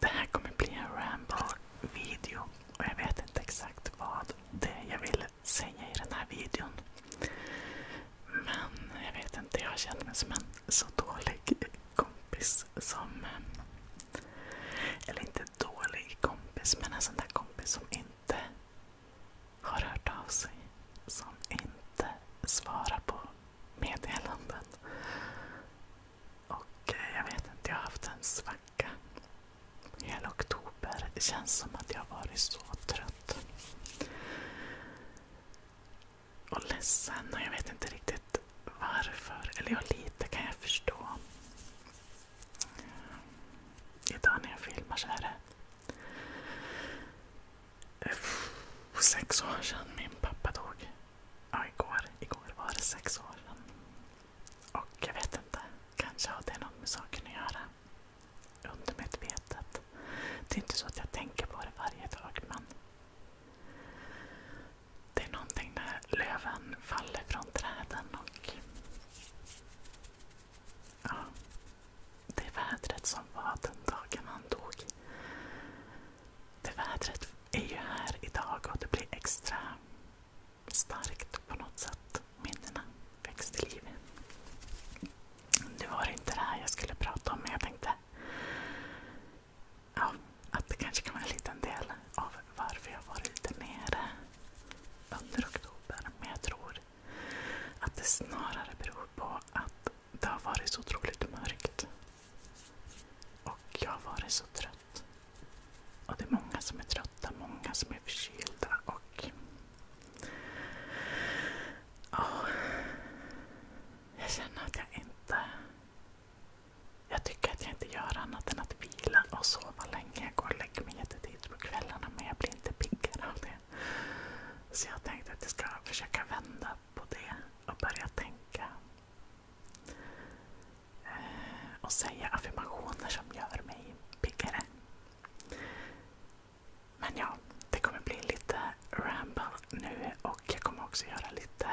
Det här kommer bli en ramble-video och jag vet inte exakt vad det är jag vill säga i den här videon. Men jag vet inte, jag har känt mig som en så dålig kompis som... Eller inte dålig kompis, men en sån där kompis som inte har hört av sig som inte svarar på meddelanden. Och eh, jag vet inte, jag har haft en svacka. Hela oktober. Det känns som att jag har varit så trött. Och ledsen. Och jag vet inte riktigt varför. Eller ja, lite kan jag förstå. Idag när jag filmar så är det Sex år sedan min pappa dog. Ja, igår. Igår var det sex år sedan. Och jag vet inte, kanske har det något med saken att göra. Undermedvetet. Det är inte så att jag tänker på det varje dag, men det är någonting när löven faller från träden och det vädret som var den dagen han dog. Det vädret är ju här idag och det blir extra starkt på något sätt. Minnena väcks till liv. var inte det här jag skulle prata om, men jag tänkte att det kanske kan vara en liten del av varför jag varit lite nere under oktober. Att det snarare beror på att det har varit så otroligt mörkt. Och jag har varit så trött. Och det är många som är trötta, många som är förkylda och... Oh, jag känner att jag inte... Jag tycker att jag inte gör annat än att vila och sova länge. Jag går och lägger mig jättetidigt på kvällarna men jag blir inte piggare av det. Så jag tänkte att jag ska försöka vända på det och börja tänka. Eh, och säga affirmationer som gör mig piggare. Men ja, det kommer bli lite ramble nu och jag kommer också göra lite,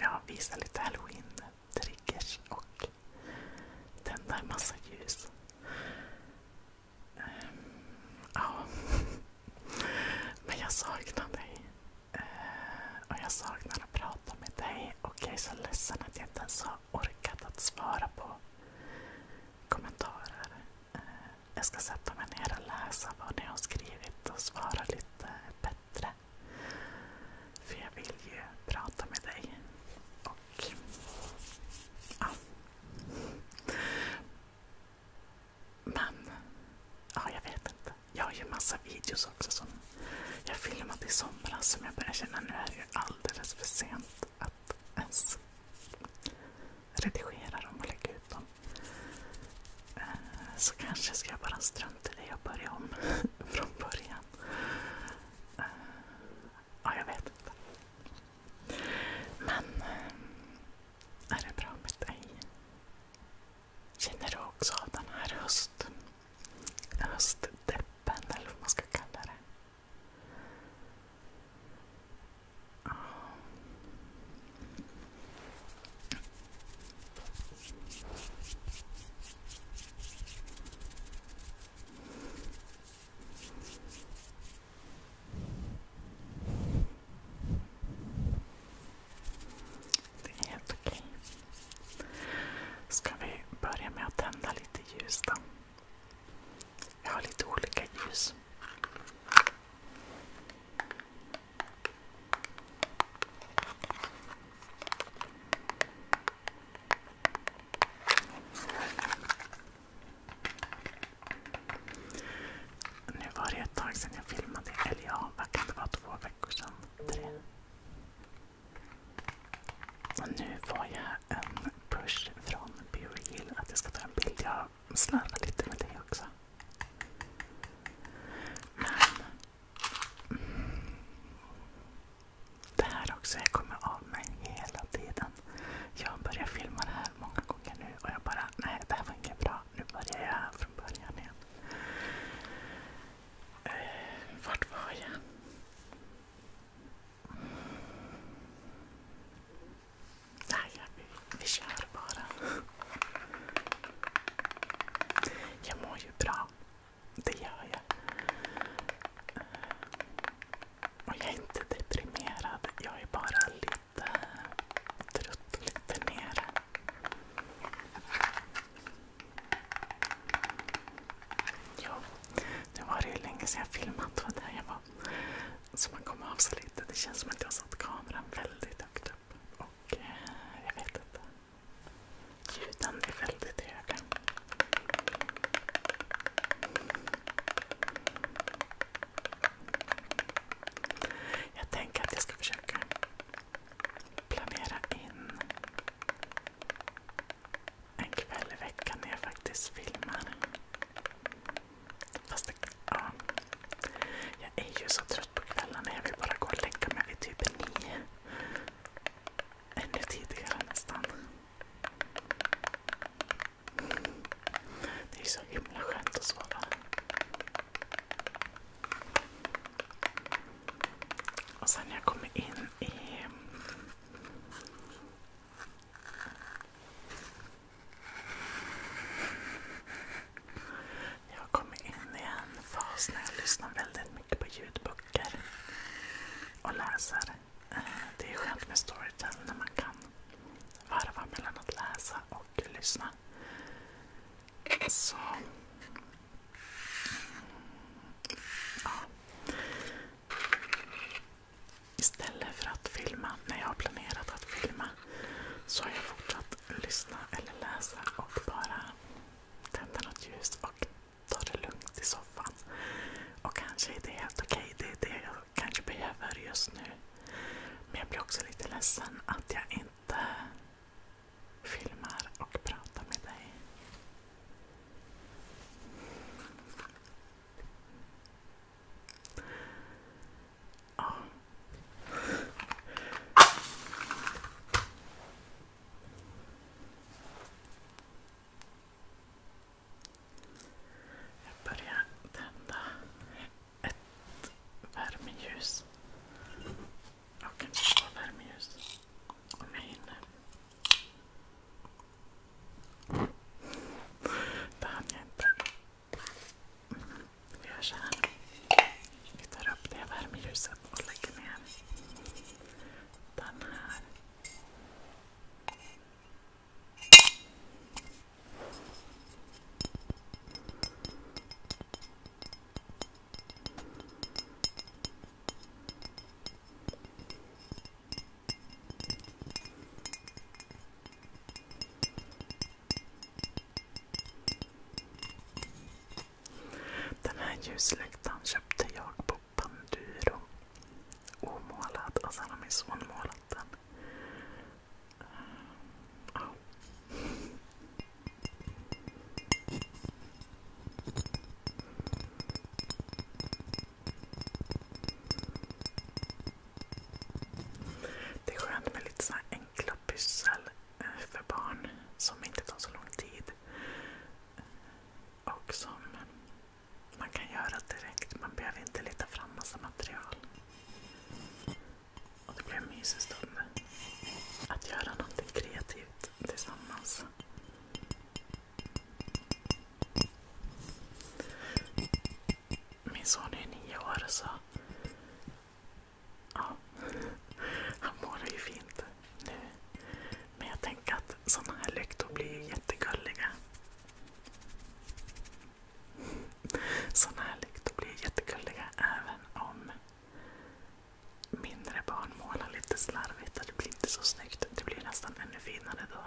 ja, visa lite halloween-triggers och tända en massa ljus. Ja. Men jag saknar dig. Eh, och jag saknar att prata med dig. Och jag är så ledsen att jag inte ens har orkat att svara på kommentarer. Eh, jag ska sätta mig ner och läsa vad ni har skrivit och svara lite bättre. För jag vill ju prata med dig. Men, ja jag vet inte. Jag har ju massa videos också som jag filmade i somras som jag börjar känna nu är det alldeles för sent att ens redigera dem och lägga ut dem. Eh, så kanske ska jag bara strunta i det och börja om från början. Eh, Ja, jag vet inte. Men eh, är det bra med dig? Känner du också av den här höst, höstdeppen eller vad man ska kalla det? Ja. Det är helt okej. Ska vi börja med att tända lite ljus då? Jag har lite olika ljus. Nu var det ett tag sedan jag filmade. Eller ja, vad kan det vara? Två veckor sedan? Tre? Och nu får jag en push från BeReal att jag ska ta en bild. Jag slarvar lite med det också. Men... Mm, det här också, jag kommer av mig hela tiden. Jag har börjat filma det här många gånger nu och jag bara, nej det här var inte bra. Nu börjar jag från början igen. Eh, vart var jag? Nej, vi, vi kör bara. Jag mår ju bra. Det gör jag. Och jag är inte deprimerad, jag är bara lite trött och lite nere. Ja, nu var det ju länge sedan jag filmat vad där jag var. Så man kom av sig lite. Det känns som att jag satt kameran väldigt högt upp. Och eh, jag vet inte. Ljuden är väldigt höga. Jag tänker att jag ska försöka planera in en kväll i veckan när jag faktiskt filmar. Fast det, ja. Jag är ju så trött på kvällarna. Jag vill bara gå och lägga mig vid typ nio. Ännu tidigare nästan. Det är så himla skönt att sova. Och sen när jag kommer in i... Jag kommer in i en fas när jag lyssnar väldigt mycket på ljudböcker och läser. Eh, det är skönt med Storytel när man kan varva mellan att läsa och lyssna. Så... Ja. Istället för att filma när jag har planerat att filma så har jag fortsatt lyssna eller läsa och bara tända något ljus och ta det lugnt i soffan. Och kanske är det helt okej. Okay. Det är det jag kanske behöver just nu. Men jag blir också lite ledsen att jag inte filmar och pratar med dig. Jag börjar tända ett värmeljus och en två värmeljus om jag hinner. Det hann jag inte. Vi gör så här. Vi tar upp det värmeljuset och lägger ner den här den här ljuslyktan köpte jag på Panduro. Omålad och sen har min son målat den. Ja. Det är skönt med lite så enkla pyssel eh, för barn som inte tar så lång tid. Och som man kan göra direkt, man behöver inte leta fram massa material. Och det blir en mysig stund. Att göra någonting kreativt tillsammans. Min son är nio år så ja, han mår ju fint nu. Men jag tänker att sådana här lyktor blir ju jättegulliga. Sådana här lyktor blir jättegulliga även om mindre barn målar lite slarvigt och det blir inte så snyggt. Det blir nästan ännu finare då.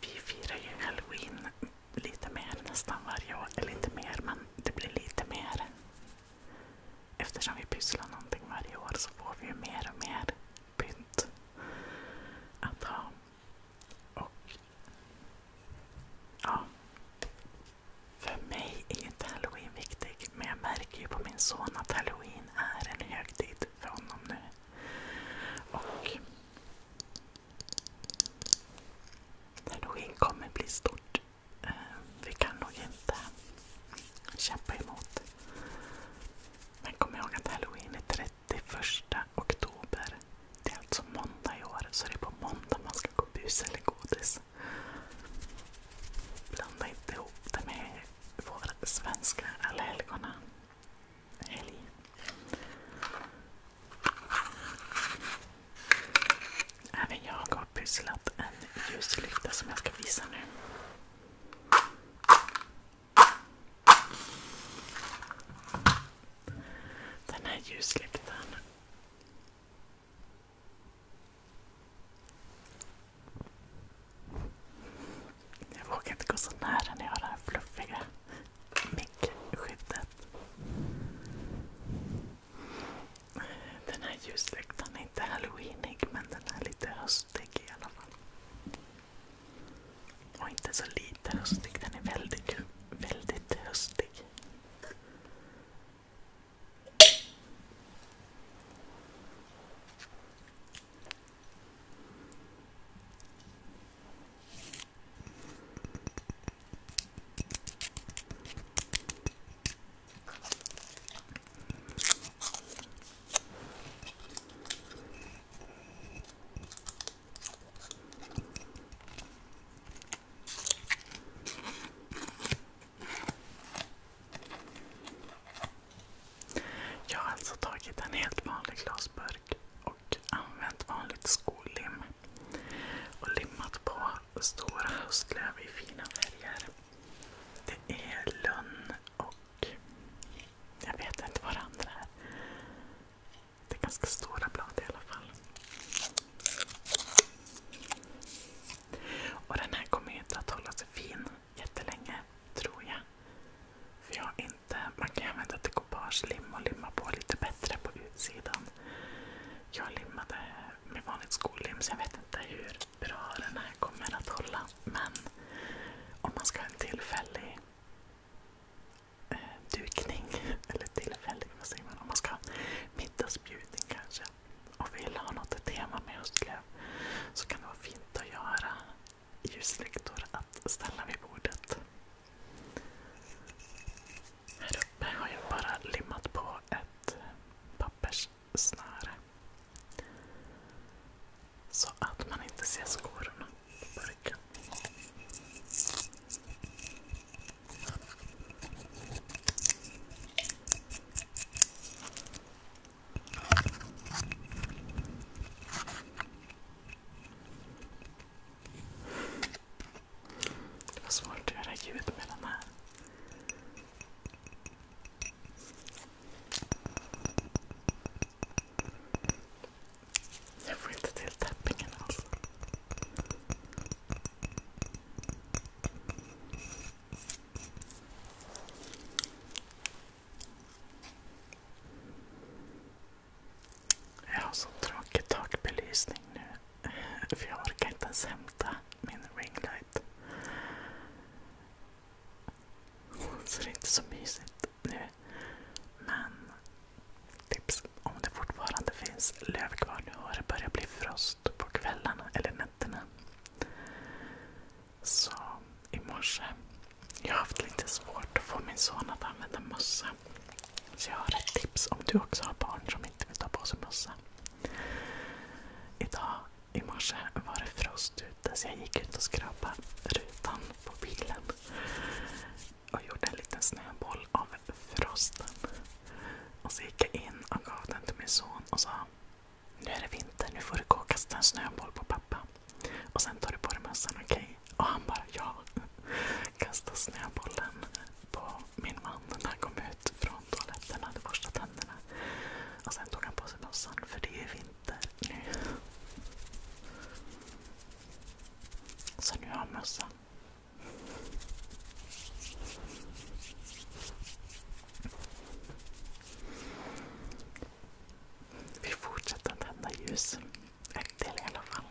Vi firar ju halloween lite mer nästan varje år. Eller inte mer, men det blir lite mer. Eftersom vi pysslar någonting varje år så får vi ju mer och mer pynt att ha. Och ja, för mig är ju inte halloween viktig men jag märker ju på min son att halloween är en högtid för honom nu. Och halloween kommer bli stort Eh, vi kan nog inte kämpa emot. Men kom ihåg att halloween är 31 oktober. Det är alltså måndag i år, så det är på måndag man ska gå bus eller godis. Blanda inte ihop det med vår svenska allhelgona helg. Även jag har pysslat en ljuslykta som jag ska visa nu. Den här ljuslyktan jag vågar inte gå så nära när jag har det här fluffiga mickskyddet. Den här ljuslyktan är inte halloweenig men den är lite höstig i alla fall. Och inte så lite höstig, den är väldigt, väldigt höstig. Jag har alltså tagit en helt vanlig glasburk och använt vanligt skollim och limmat på stora höstlöv i fina färger. Det är lönn och... Jag vet inte vad det andra är. Det är ganska stora blad i alla fall. Och den här kommer inte att hålla sig fin jättelänge, tror jag. Man kan använda dekoupage-lim och limma på lite bättre på utsidan. Jag limmade med vanligt skollim så jag vet inte hur bra den här kommer att hålla. Men om man ska ha en tillfällig eh, dukning, eller tillfällig, vad säger man? Om man ska ha middagsbjudning kanske och vill ha något tema med höstlöv så kan det vara fint att göra ljuslyktor att ställa vid bordet. Här uppe har jag bara limmat på ett pappers snöre. Så att man inte ser skorna på burken. Det var svårt att göra ljud med den här. I får inte till täppingen alltså. Jag har så tråkig takbelysning nu. För jag orkar inte ens hämta min ringlight. Så det är inte så mysigt nu. Men tips om det fortfarande finns löv kvar. Nu har det börjat bli frost på kvällarna eller nätterna. Så i morse. Jag har haft lite svårt att få min son att använda mössa. Så jag har ett tips om du också har barn som inte vill ta på sig mössa. Idag i morse var det frost ute så jag gick ut och skrapade rutan på bilen. Och gjorde en liten snöboll av frosten. Och så gick jag in och gav den till min son och sa Nu är det vinter, nu får du gå och kasta en snöboll på pappa. Och sen tar du på dig mössan, okej? Okay? Och han bara ja. Kastade snöbollen på min man när han kom ut från från toaletten, hade borstat tänderna. Och sen tog han på sig mössan, för det är ju vinter nu. Så nu har han mössan. Vi fortsätter att tända ljus. En del i alla fall.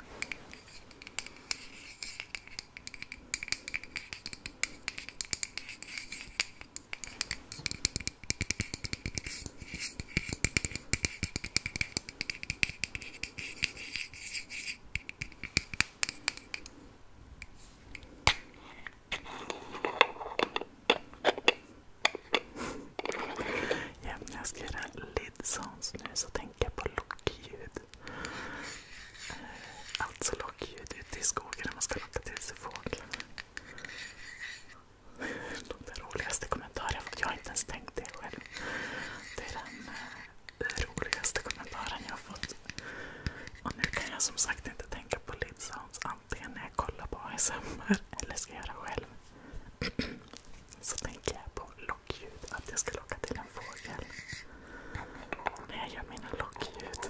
Ja, när jag ska göra lid sounds nu så tänker jag på lockljud. Alltså lockljud ute i skogen när man ska locka till sig fåglar. Den roligaste kommentaren jag fått. Jag har inte ens tänkt det själv. Det är den eh, roligaste kommentaren jag har fått. Och nu kan jag som sagt inte tänka på Lidsounds antingen när jag kollar på ASMR eller ska göra själv. Så tänker jag på lockljud, att jag ska locka till en fågel. När jag gör mina lockljud.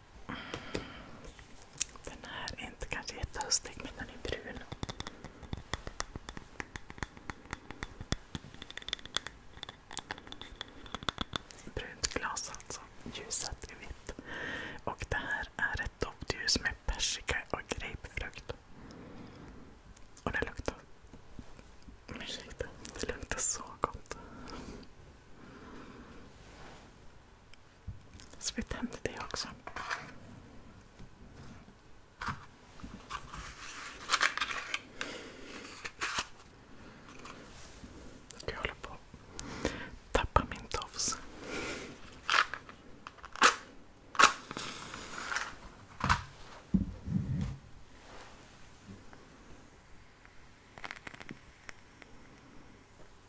Den här är inte kanske jättehöstig men den är brun. Brunt glas alltså. Ljuset är vitt. Och det här är ett doftljus med persika och grapefrukt. Och det luktar... Ursäkta. Det luktar så gott. Så vi tände det också. Jag håller på att tappa min tofs.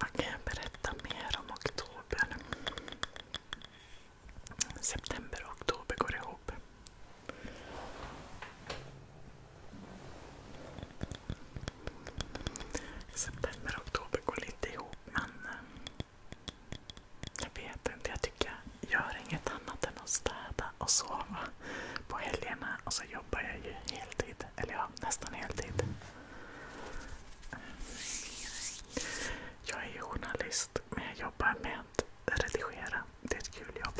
Vad kan jag berätta mer om oktober? September och oktober går ihop. September och oktober går lite ihop men eh, jag vet inte. Jag tycker jag gör inget annat än att städa och sova på helgerna och så jobbar jag ju heltid. Eller ja, nästan heltid. Jag är journalist men jag jobbar med att redigera. Det är ett kul jobb.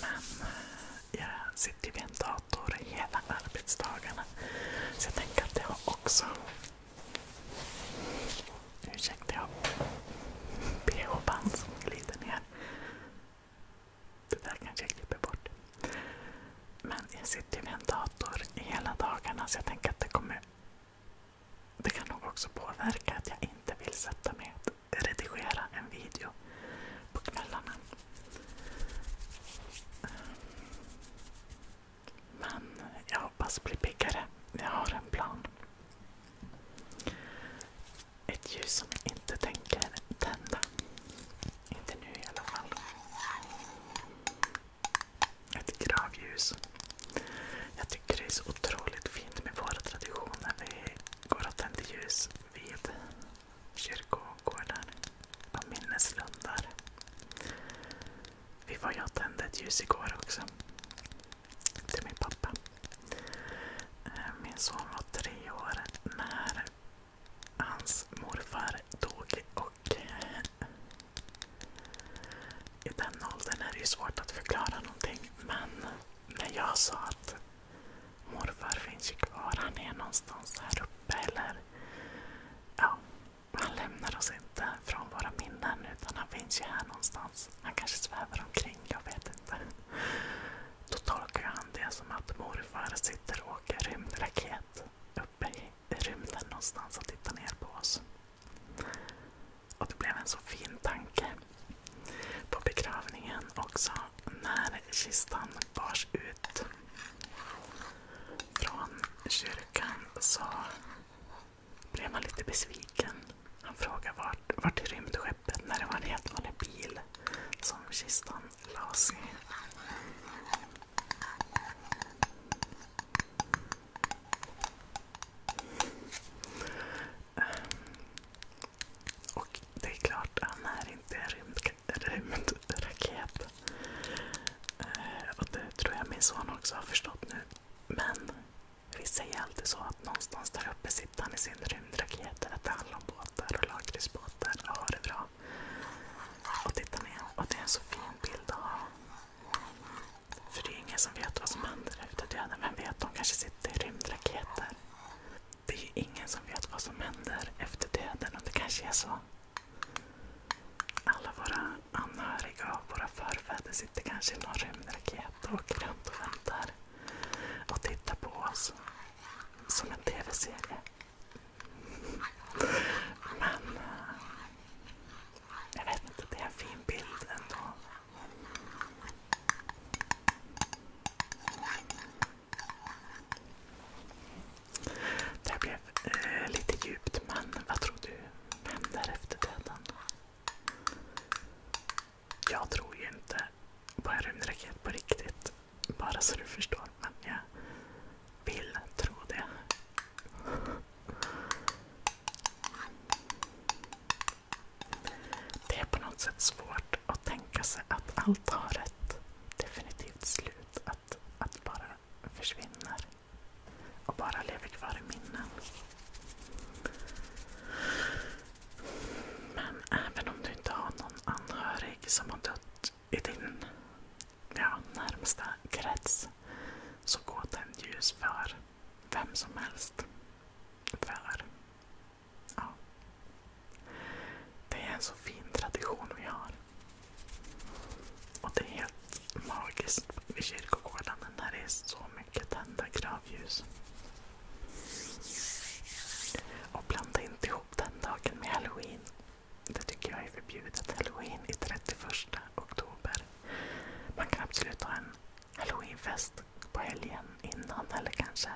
Men eh, jag sitter vid en dator hela arbetsdagarna. Så jag tänker att jag också... Ursäkta, jag bh-band som glider ner. Det där kanske jag klipper bort. Men jag sitter ju vid en dator hela dagarna så jag tänker att det kommer... Det kan nog också påverka att jag inte vill sätta mig och redigera en video på kvällarna. Men jag hoppas bli piggare. Jag har en plan. Ett ljus som jag inte tänker tända. Inte nu i alla fall. Ett gravljus. Jag tycker det är så otroligt fint med våra traditioner. Vi går och tänder ljus vid kyrkogårdar och minneslundar. Vi var jag tände ett ljus igår också. Till min pappa. Eh, min son var tre år när hans morfar dog. Och eh, I den åldern är det ju svårt att förklara någonting. Men när jag sa att morfar finns ju kvar, han är någonstans här uppe. Eller, ja, han lämnar oss inte från våra minnen utan han finns ju här någonstans. Han kanske svävar omkring, jag vet inte. Då tolkar han det som att morfar sitter och åker rymdraket uppe i rymden någonstans och tittade ner på oss. Och det blev en så fin tanke på begravningen också när kistan bars ut från kyrkan så blev man lite besviken. Han frågade vart, vart i rymdskeppet när det var en helt vanlig bil som kistan lousy. Ehm, och det är klart, han är inte en rymdraket. Ehm, det tror jag min son också har förstått nu. Men vi säger alltid så att någonstans där uppe sitter han i sin rymdraket. det handlar om båtar och lakritsbåtar och har det bra och titta ner. Och det är en så fin bild att ha. För det är ingen som vet vad som händer efter döden. Vem vet, de kanske sitter i rymdraketer. Det är ju ingen som vet vad som händer efter döden och det kanske är så. Alla våra anhöriga och våra förfäder sitter kanske i någon rymdraket och åker runt och väntar och tittar på oss som en tv-serie. Men jag vet inte, det är en fin bild ändå. Det blev eh, lite djupt, men vad tror du händer efter döden? Jag tror ju inte på en rymdraket på riktigt. Bara så du förstår. Men jag vill tro det. Det är på något sätt svårt att tänka sig att allt har ett definitivt slut. Att, att bara försvinner och bara lever kvar i minnen. Men även om du inte har någon anhörig som har dött i din ja, närmsta krets så går den ljus för vem som helst. För ja. Det är en så fin tradition vi har. Och det är helt magiskt vid kyrkogården när det är så mycket tända gravljus. Och blanda inte ihop den dagen med halloween. Det tycker jag är förbjudet. Halloween är 31 oktober. Man kan absolut ha en halloweenfest på helgen innan eller kanske,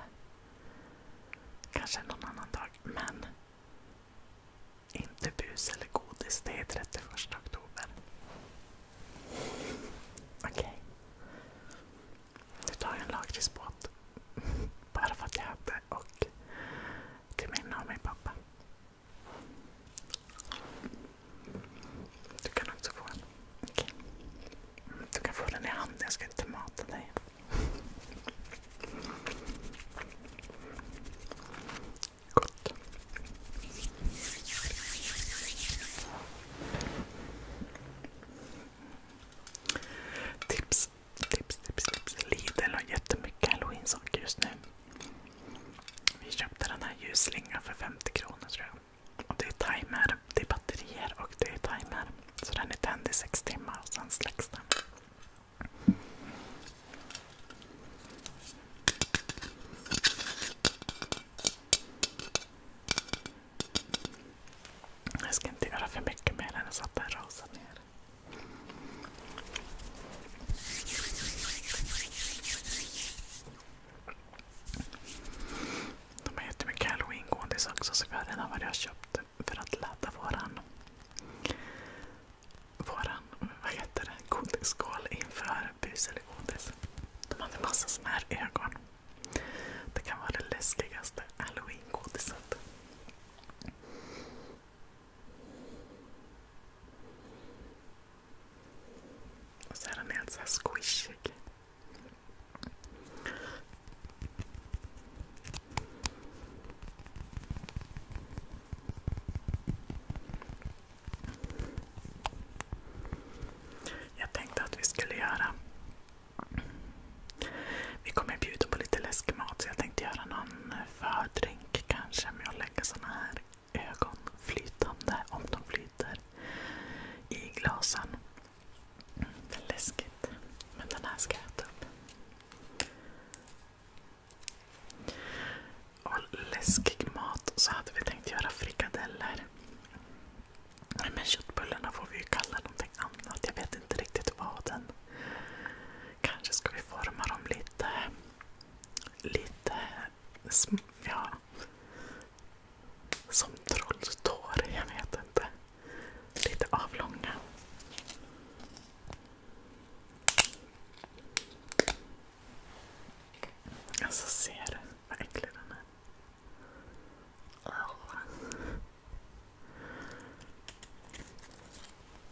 kanske någon annan dag. Men inte bus eller godis. Det är 31 oktober. Okej. Okay. Nu tar jag en lakritsbåt. Bara för att jag hade och till minne av min pappa. Du kan också få en. Mm, du kan få den i handen, jag ska inte mata dig. Gott. Tips, tips, tips. Lidl har jättemycket halloween-saker just nu. Vi köpte den här ljusslingan för 50 kronor tror jag. Och det är timer, det är batterier och det är timer. Så den är tänd i 6 timmar och sen släcks den. Jag ska inte göra för mycket med den så att den rasar ner. De har jättemycket halloween-godis också så vi har redan varit och köpt för att ladda våran, våran vad heter det, godisskål inför bus eller godis. De hade massa såna här ögon. Det kan vara det läskigaste halloween-godiset. Och så är den alltså helt så squishig. Jag tänkte att vi skulle göra... Vi kommer bjuda på lite läskmat så jag tänkte göra någon fördrink kanske med att lägga såna här ögon flytande, om de flyter, i glasen. Det är läskigt. Men den här ska jag äta upp. Och läskig mat så hade vi tänkt göra frikadeller. Men köttbullarna får vi ju kalla någonting annat. Jag vet inte riktigt vad den Kanske ska vi forma dem lite... Lite... Ja... Som trolltår, jag vet inte. Lite avlånga. Alltså ser du vad äcklig den är?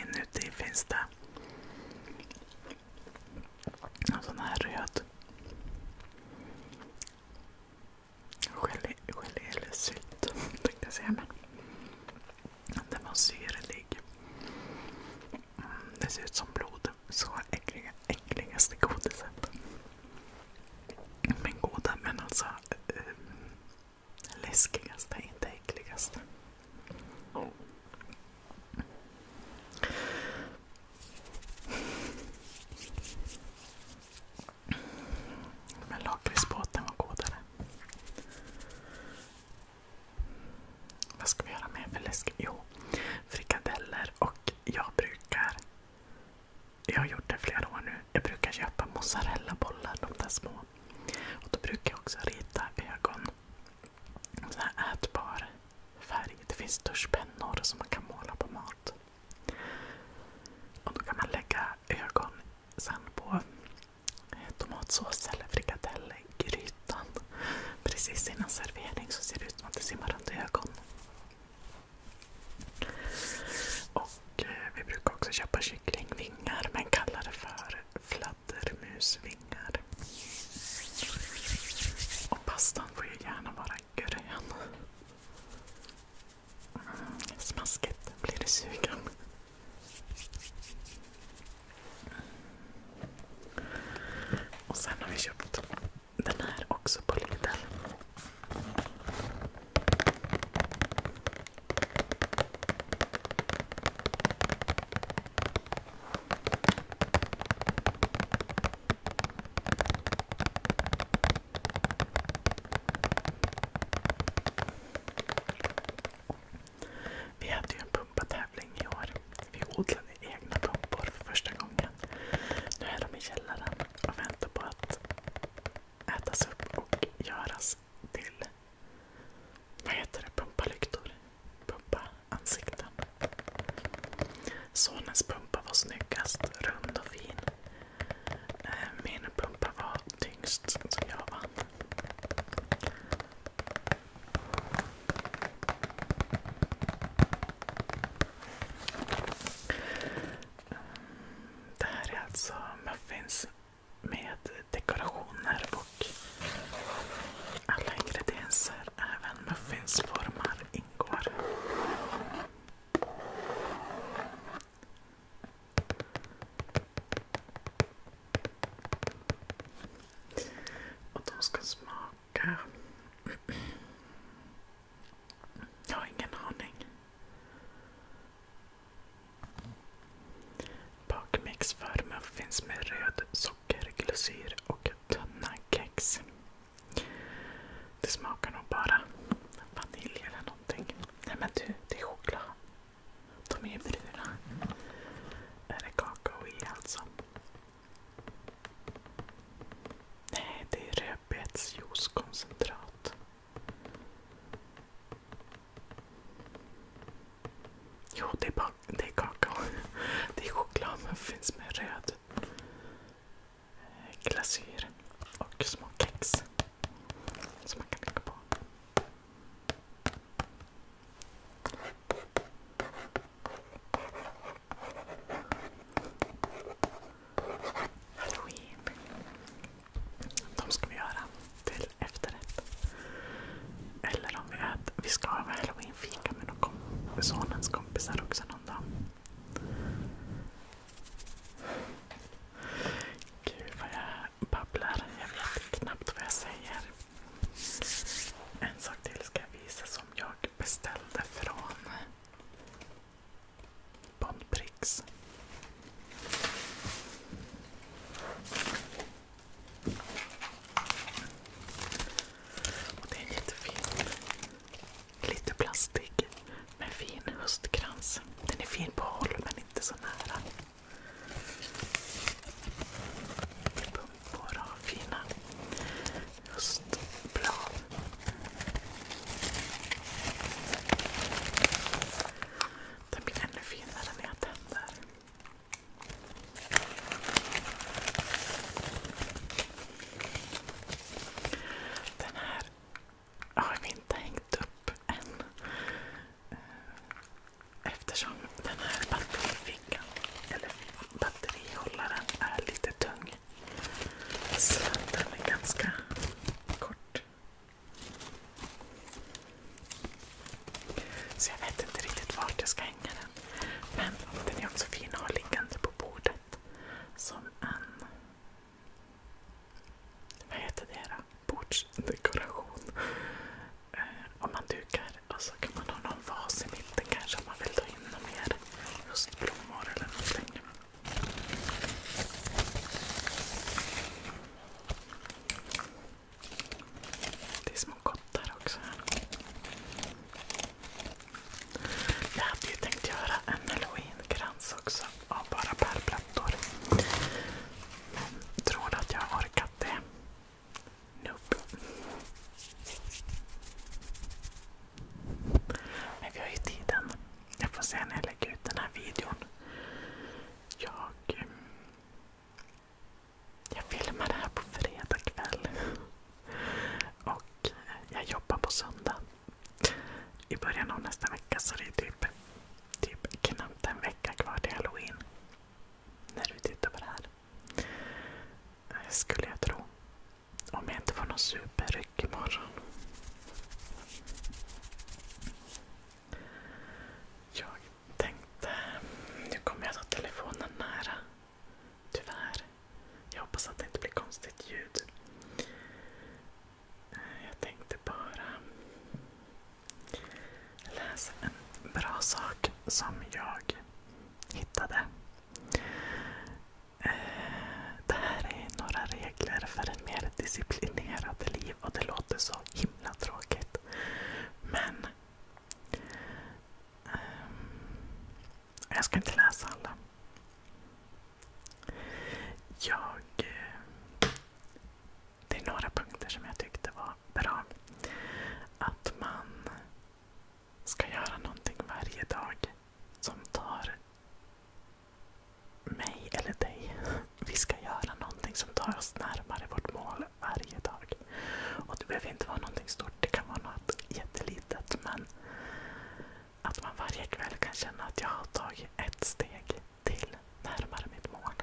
Inuti finns det en sån här röd gelé, eller sylt den var syrlig. Mm, det ser ut som blod. Så äckliga, äckligaste godiset. Men goda, men alltså äh, läskigaste, inte äckligaste. Men lakritsbåten var godare. Vad ska vi göra med för läsk? Jo, frikadeller. Och jag brukar jag har gjort det flera år nu. Jag brukar köpa mozzarellabollar, de där små. Och Då brukar jag också rita ögon. Så här ätbar färg. Det finns duschpennor som man kan måla på mat. Och Då kan man lägga ögon sen på eh, tomatsås eller frikadell Precis innan servering så ser det ut som att det simmar runt ögon. Och eh, Vi brukar också köpa kycklingvingar men kallar det för fladdermusvingar. Och pastan får ju gärna vara grön. Mm, smaskigt blir det sugen. sen har vi köpt den här också på Lidl. Vi hade ju en pumpatävling i år. Vi odlade egna pumpor för första gången. Nu är de i källaren och väntar på att ätas upp och göras till vad heter det? Pumpalyktor. Pumpa ansikten. Sonens pumpa var snyggast, rund och fin. Eh, min pumpa var tyngst, så jag vann. Det här är alltså muffins med dekorationer och alla ingredienser, även muffinsformar, ingår. Och de ska smaka jag har ingen aning. Bakmix för muffins med röd sockerglycyr och tunna kex. Det smakar nog bara vanilj eller någonting. Nej men du, det är choklad. De är ju bruna. Är det kakao i alltså. Nej, det är rödbetsjuicekoncentrat. Jo, det är, det är kakao. Det är chokladmuffins med röd glasyr och små kex som man kan lägga på. Halloween. De ska vi göra till efterrätt. Eller om vi äter. Vi ska ha halloweenfika med någon kom sonens kompisar också någon dag. Gud vad jag babblar. Jag vet knappt vad jag säger. En sak till ska jag visa som jag beställde från Bandpricks. Och det är en jättefin, lite plastig, men fin höstkrans. Den är fin på håll men inte så nära. Pumpor och fina höstblad. Den blir ännu finare när jag tänder. Den här har vi inte hängt upp än. Eh, eftersom den här batterifickan, eller batterihållaren, är lite tung. Så den är ganska kort. Så jag vet inte riktigt vart jag ska hänga den. Men den är också fin att ha liggande på bordet. Som en... Vad heter det då? Bordsdekoration. Eh, om man dukar och så kan man ha någon vas i mitten kanske om man vill ta in något mer Just blommor eller någonting. Det är små kottar också. Jag hade ju tänkt göra en halloweenkrans också av bara pärlplattor. Men tror att jag har orkat det? Nope. Men vi har ju tiden. Jag får se när jag lägger ut den här videon. Jag, ehm, jag filmar det här på fredag kväll. Och eh, jag jobbar på söndag. I början av nästa vecka så det är typ, typ knappt en vecka kvar till halloween. När du tittar på det här. Eh, skulle jag tro. Om jag inte får någon superryck imorgon. Jag tänkte... kommer jag ta telefonen nära. Tyvärr. Jag hoppas att det inte blir konstigt ljud. Eh, jag tänkte bara läsa en bra sak som jag hittade. Eh, det här är några regler för ett mer disciplinerat liv och det låter så himla tråkigt. Men ehm, jag ska inte läsa alla. Jag, eh, det är några punkter som jag tyckte var bra. Att man ska göra någonting varje dag som tar mig eller dig. Vi ska göra någonting som tar oss närmare vårt mål varje dag. Och Det behöver inte vara någonting stort, det kan vara något jättelitet. Men att man varje kväll kan känna att jag har tagit ett steg till närmare mitt mål.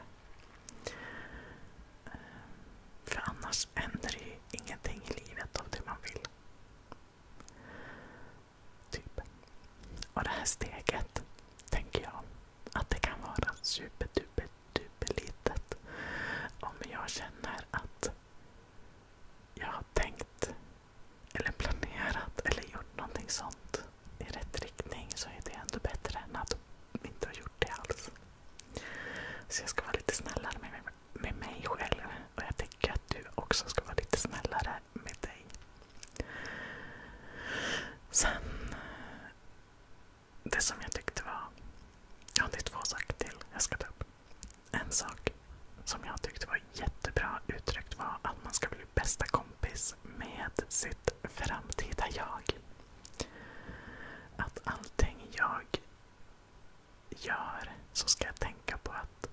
Eh, för annars händer ju ingenting i livet av det man vill. Typ. Och det här steget tänker jag att det kan vara superduperduperlitet. Om jag känner att jag har tänkt eller planerat eller gjort någonting sånt i rätt riktning så är det ändå bättre än att inte ha gjort det alls. Så jag ska vara lite snällare med, med mig själv och jag tycker att du också ska vara lite snällare med dig. Sen, det som jag tyckte var... Ja, det är två saker till jag ska ta upp. En sak som jag tyckte var jättebra uttryckt var att man ska bli bästa kompis med sitt framtida jag. Att allting jag gör så ska jag tänka på att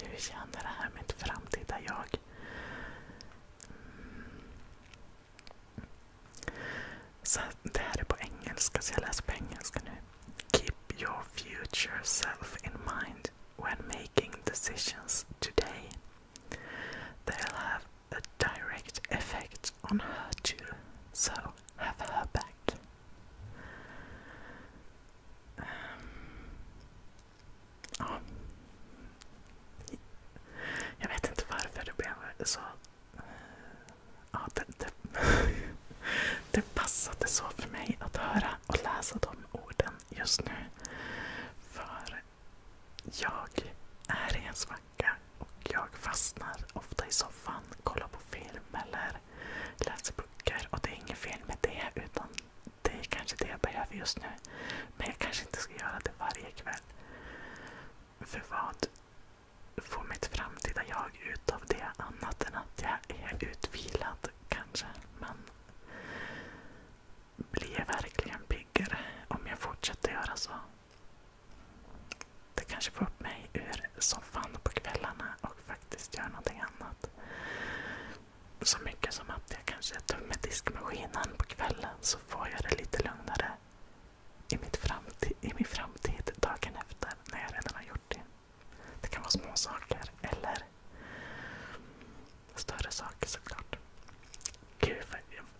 hur känner det här mitt framtida jag? Mm. Keep your future self in mind when making decisions today. They'll have a direct effect on her too, so have her back. Jag vet inte varför det blev så. Ja, det, det, det passade så för mig att höra och läsa de orden just nu. För jag är i en svacka och jag fastnar ofta i soffan, kollar på film eller läser böcker. Och det är inget fel med det. utan det är kanske det jag behöver just nu. Men jag kanske inte ska göra det varje kväll. För vad får mitt framtida jag ut av det annat än att jag är utvilad kanske? Men blir jag verkligen piggare om jag fortsätter göra så? Det kanske får upp mig ur soffan på kvällarna och faktiskt gör någonting annat så mycket som att jag kanske tömmer diskmaskinen på kvällen så får jag det lite lugnare i, mitt framtid, i min framtid dagen efter när jag redan har gjort det. Det kan vara små saker eller större saker såklart. Gud,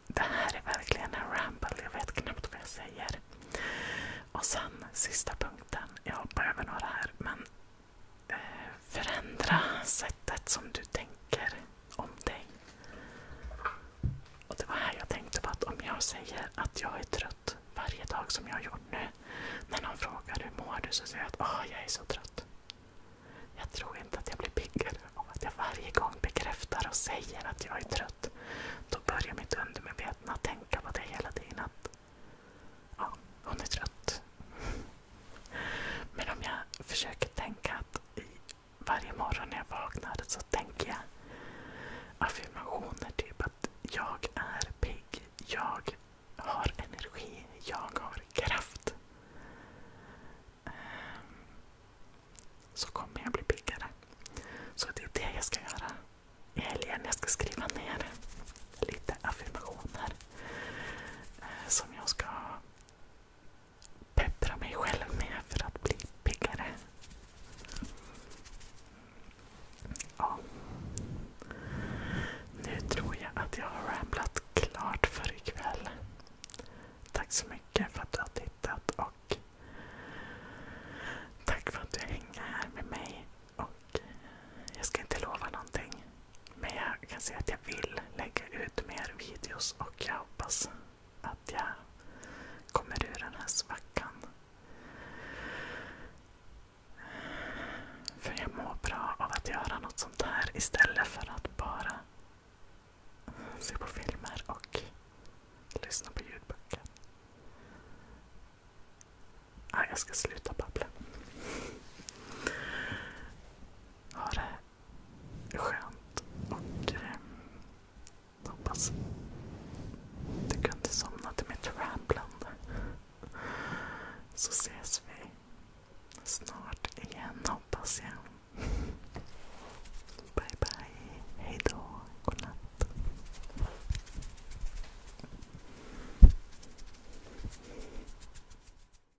det här är verkligen en ramble. Jag vet knappt vad jag säger. Och sen sista punkten. Jag hoppar över några här. men förändra sättet som du tänker om dig. Och Det var här jag tänkte på att om jag säger att jag är trött varje dag som jag har gjort nu. När någon frågar hur mår du så säger jag att oh, jag är så trött. Jag tror inte att jag blir piggare av att jag varje gång bekräftar och säger att jag är trött. Då börjar mitt undermedvetna tänka på det hela tiden. Att ja, hon är trött. Men om jag försöker tänka att varje morgon när jag vaknar så tänker jag affirmationer. Typ att jag är pigg, jag har energi, jag har kraft. Ehm, så kommer jag bli piggare. Så det är det jag ska göra i helgen. Jag ska skriva ner lite affirmationer eh, som jag ska peppra mig själv med för att bli piggare. Ja. Nu tror jag att jag har ramlat klart för ikväll. Tack så mycket för att du har tittat och tack för att du hänger här med mig. Och Jag ska inte lova någonting. Men jag kan säga att jag vill lägga ut mer videos och jag hoppas att jag kommer ur den här svackan. För jag mår bra av att göra något sånt här istället för att bara se på filmer och lyssna på ljudböcker. Ah, jag ska sluta babbla. Ha det skönt. Och eh, hoppas du kunde somna till mitt ramblande. Så ses vi snart igen hoppas jag. Bye bye. Hejdå. Godnatt.